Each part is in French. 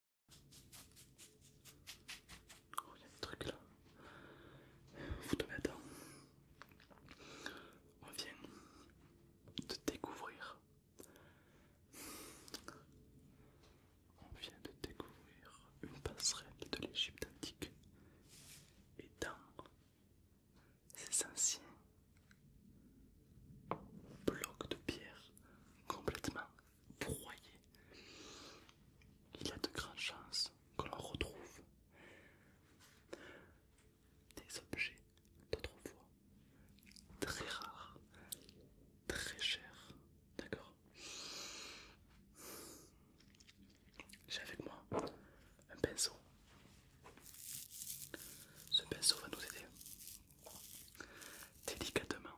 Oh, il y a un truc là. Vous On vient de découvrir. On vient de découvrir une passerelle de l'Égypte antique. Et dans ces anciens blocs de pierre complètement vous voyez, Il y a de grandes chances que l'on retrouve des objets d'autrefois très rares, très chers. D'accord J'ai avec moi un pinceau. Ce pinceau va nous aider délicatement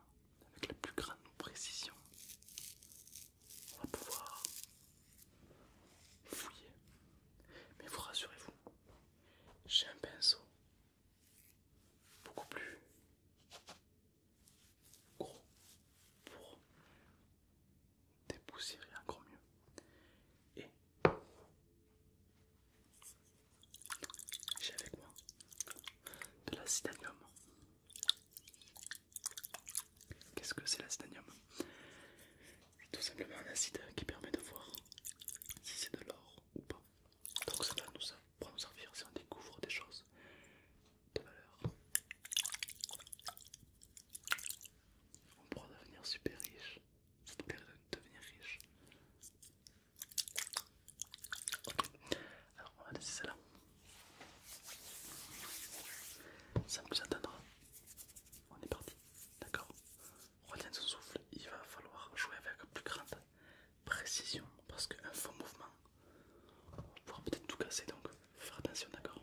avec la plus grande précision, on va pouvoir fouiller. Mais vous rassurez-vous, j'ai un pinceau beaucoup plus gros pour dépoussiérer encore mieux. Et j'ai avec moi de l'acétanium. Qu'est-ce que c'est l'acétanium C'est tout simplement un acide qui permet de voir si c'est de l'or ou pas. Donc ça va nous, servir si on découvre des choses de valeur. On pourra devenir super riche. de devenir riche alors on va laisser celle-là. Sans plus entendre on est parti. D'accord Retiens son souffle, il va falloir jouer avec plus grande précision parce qu'un faux mouvement on pourra peut-être tout casser donc faire attention, d'accord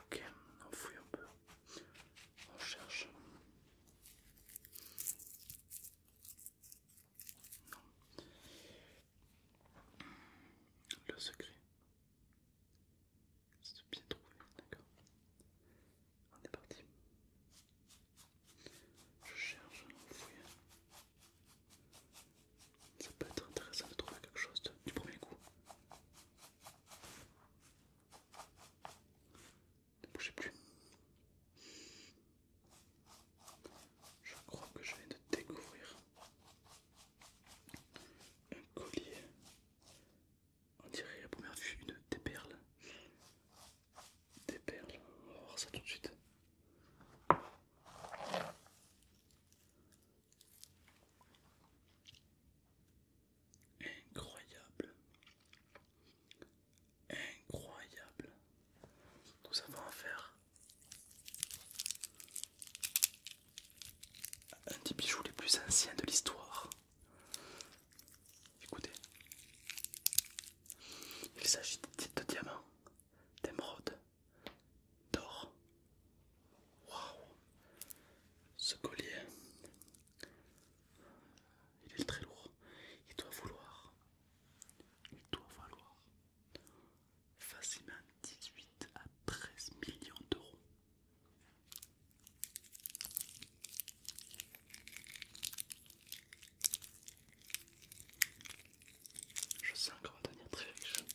Ok, on fouille un peu. On cherche. Non. Le secret. C'est bien trouvé, d'accord. On est parti. Je cherche, on fouille. Ça peut être intéressant de trouver quelque chose du premier coup. Ne bougez plus. Je crois que je viens de découvrir un collier. On dirait à première vue une, des perles. Des perles. On va voir ça tout de suite. Incroyable. Incroyable. Nous avons affaire à un des bijoux les plus anciens de l'histoire. Écoutez. Il s'agit de diamants, d'émeraude d'or. Waouh Ce collier, il est très lourd. Il doit vouloir, il doit valoir facilement 18 à 13 millions d'euros. Je sais encore devenir très riche.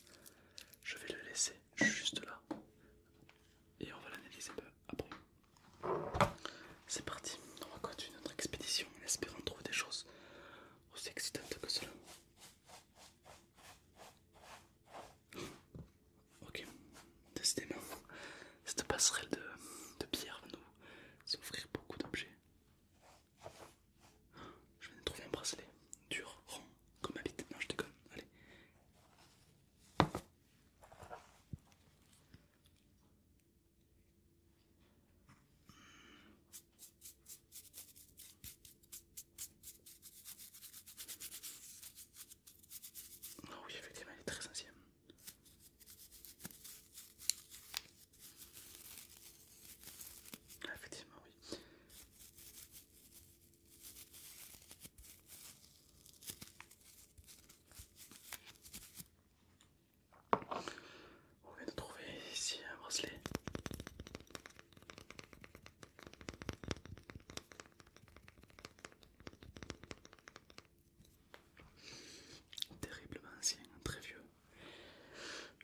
Je vais le laisser juste là et on va l'analyser bah, après. C'est parti, on va continuer notre expédition en espérant trouver des choses aussi excitantes que cela. Ok, décidément, cette passerelle de, de pierre va nous offrir beaucoup d'objets. Je viens de trouver un bracelet dur, rond, comme habite. Non, je déconne. Allez. Ah oui, effectivement, elle est très ancienne. effectivement, on vient de trouver ici un bracelet. Terriblement ancien, très vieux.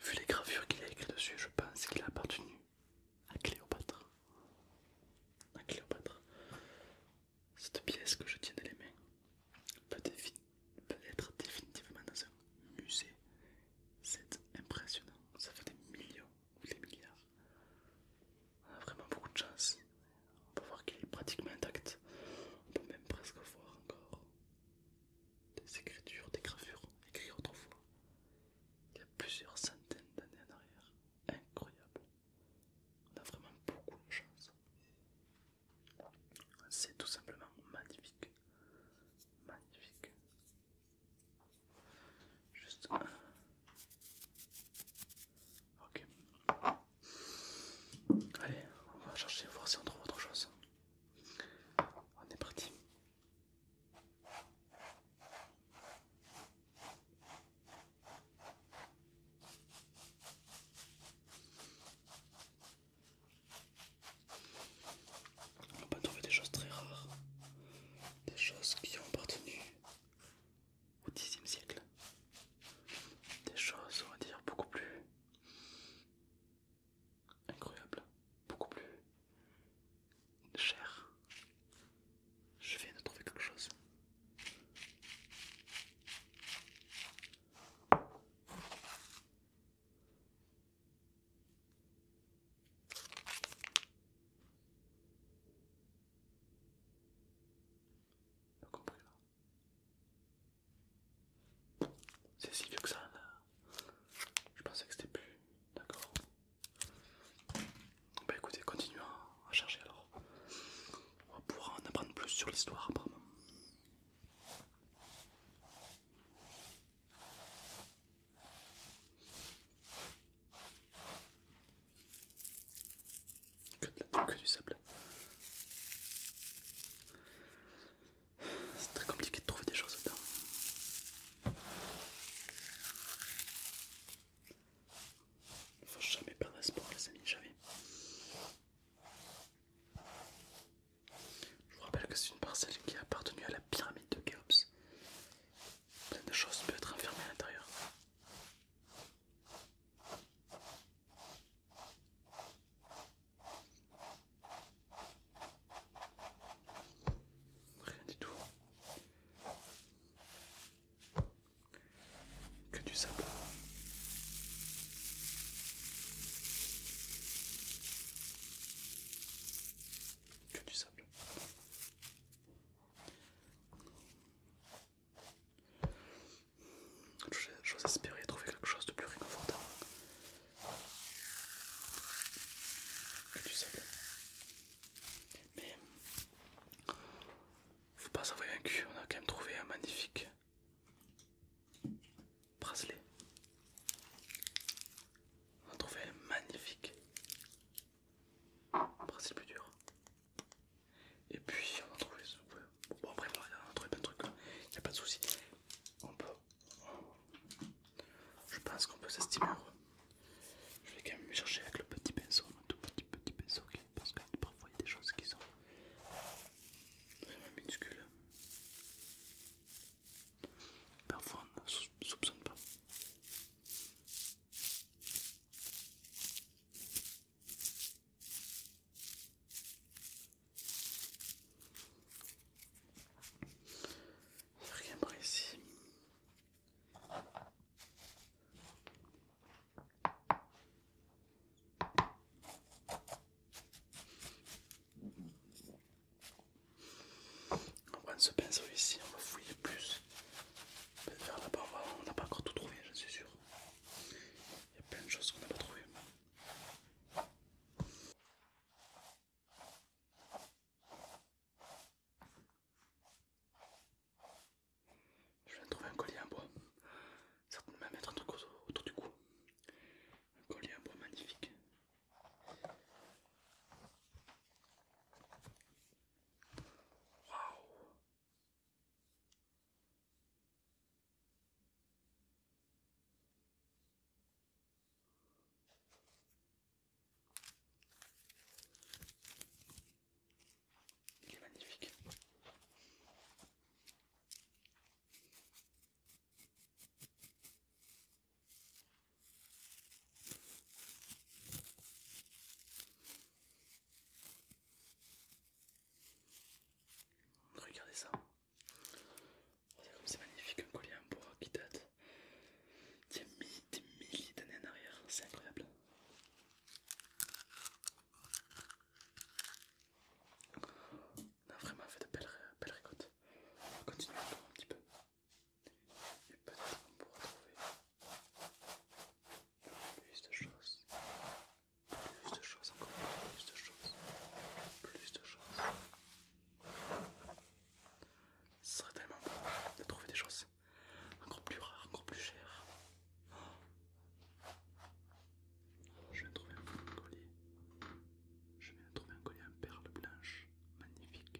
Vu les gravures qu'il a écrites dessus, je pense qu'il a appartenu à Cléopâtre. À Cléopâtre. Cette pièce que je tiens dans les mains peut, être définitivement dans un musée. C'est impressionnant, ça fait des millions ou des milliards. On a vraiment beaucoup de chance. On peut voir qu'il est pratiquement intact. On peut même presque voir encore des écritures, des gravures écrites autrefois, il y a plusieurs centaines d'années en arrière. Incroyable. On a vraiment beaucoup de chance. C'est tout simplement magnifique. Magnifique. Juste... Ok. Allez, on va chercher, voir si on trouve autre chose. On est parti. On peut trouver des choses très rares, des choses qui ont appartenu au Xe siècle, des choses, on va dire, beaucoup plus incroyable, beaucoup plus cher. Je viens de trouver quelque chose. C'est si vieux que ça là. Je pensais que c'était plus. D'accord. Bah écoutez, continuons à chercher alors. On pouvoir en apprendre plus sur l'histoire apparemment. Que, de la, que du sable. C'est très compliqué de trouver des choses dedans. Faut jamais perdre espoir les amis, jamais. Je vous rappelle que c'est une parcelle qui a appartenu à la pyramide de Khéops. Plein de choses peuvent être enfermées à l'intérieur. Rien du tout. Que du sable. Que du sable. J'ose espérer trouver quelque chose de plus réconfortant. Que du Mais faut pas s'envoyer un cul, on a quand même trouvé un magnifique bracelet. On a trouvé un magnifique bracelet plus dur. Et puis on a trouvé Bon, après, on il y a trouvé plein de trucs, il n'y a pas de souci. On peut. Je pense qu'on peut s'estimer heureux. Je vais quand même chercher avec le petit pinceau, le tout petit petit pinceau, parce que parfois il y a des choses qui sont minuscules. Parfois on ne soupçonne pas rien par ici. On prend ce pinceau ici, on va fouiller plus. Vers là-bas, on n'a pas encore tout trouvé, je suis sûr. Il y a plein de choses qu'on n'a pas trouvées. Je viens de trouver un collier en bois. Certainement mettre un truc autour du cou. Un collier en bois magnifique. Waouh il est magnifique. Regardez ça. Regardez comme c'est magnifique un collier en bois qui date des milliers, des milliers d'années en arrière. C'est incroyable. On a vraiment fait de belles, belles récoltes. On va continuer un petit peu. Et peut-être qu'on pourra trouver plus de choses, plus de choses, encore plus de choses, plus de choses. serait tellement bon de trouver des choses encore plus rares, encore plus chères. je viens de trouver un collier. Je viens de trouver un collier en perles blanches, magnifique.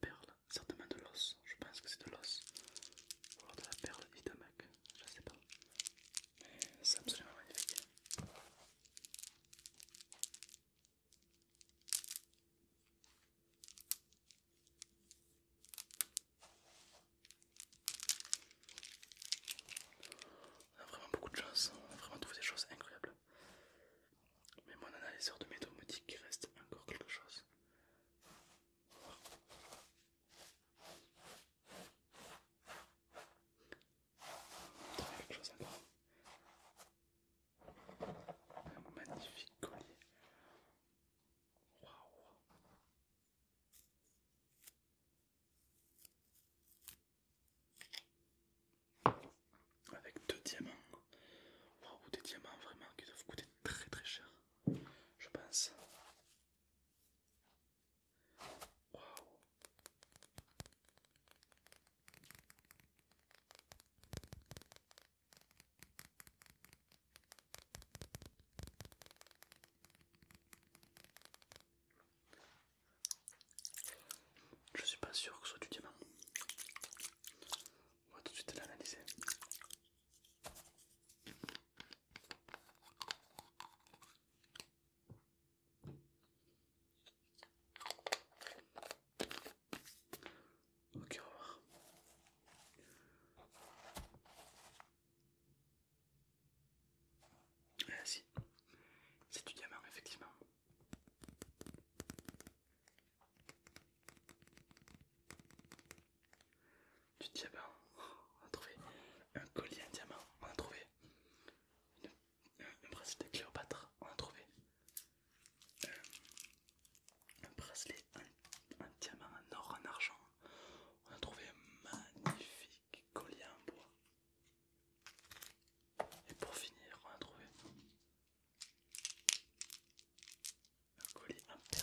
perle perles, certainement de l'os, je pense que c'est de l'os, ou alors de la perle et je sais pas, mais c'est absolument magnifique. On a vraiment beaucoup de chance, on a vraiment trouvé des choses incroyables. Mais mon analyseur de métaux me dit qu'il reste encore quelque chose. quelque chose encore. Un magnifique collier. Waouh! avec deux diamants. des diamants vraiment qui doivent coûter très très cher, je pense. Je suis pas sûr que ce soit du diamant. On va tout de suite l'analyser. Ok, on va Ah si, c'est du diamant effectivement. Du diamant, ah ben, on a trouvé un collier en diamant, on a trouvé un, bracelet bracelet Cléopâtre, on a trouvé euh, un, bracelet en, diamant, en or, en argent, on a trouvé un magnifique collier en bois. Et pour finir, on a trouvé un colis en et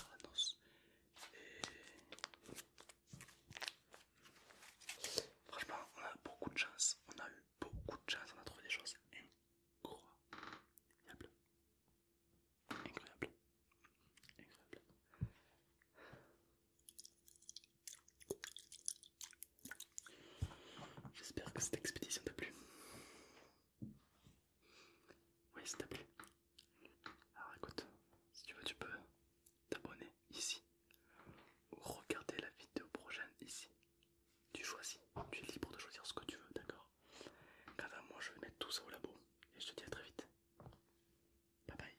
franchement on a beaucoup de chance on a eu beaucoup de chance on a trouvé des choses incroyables incroyables incroyables J'espère que cette expédition t'a plu. Oui, si t'as plu. Alors écoute, si tu veux, tu peux t'abonner ici ou regarder la vidéo prochaine ici. Tu choisis, tu es libre de choisir ce que tu veux, d'accord Quant moi, je vais mettre tout ça au labo et je te dis à très vite. Bye bye.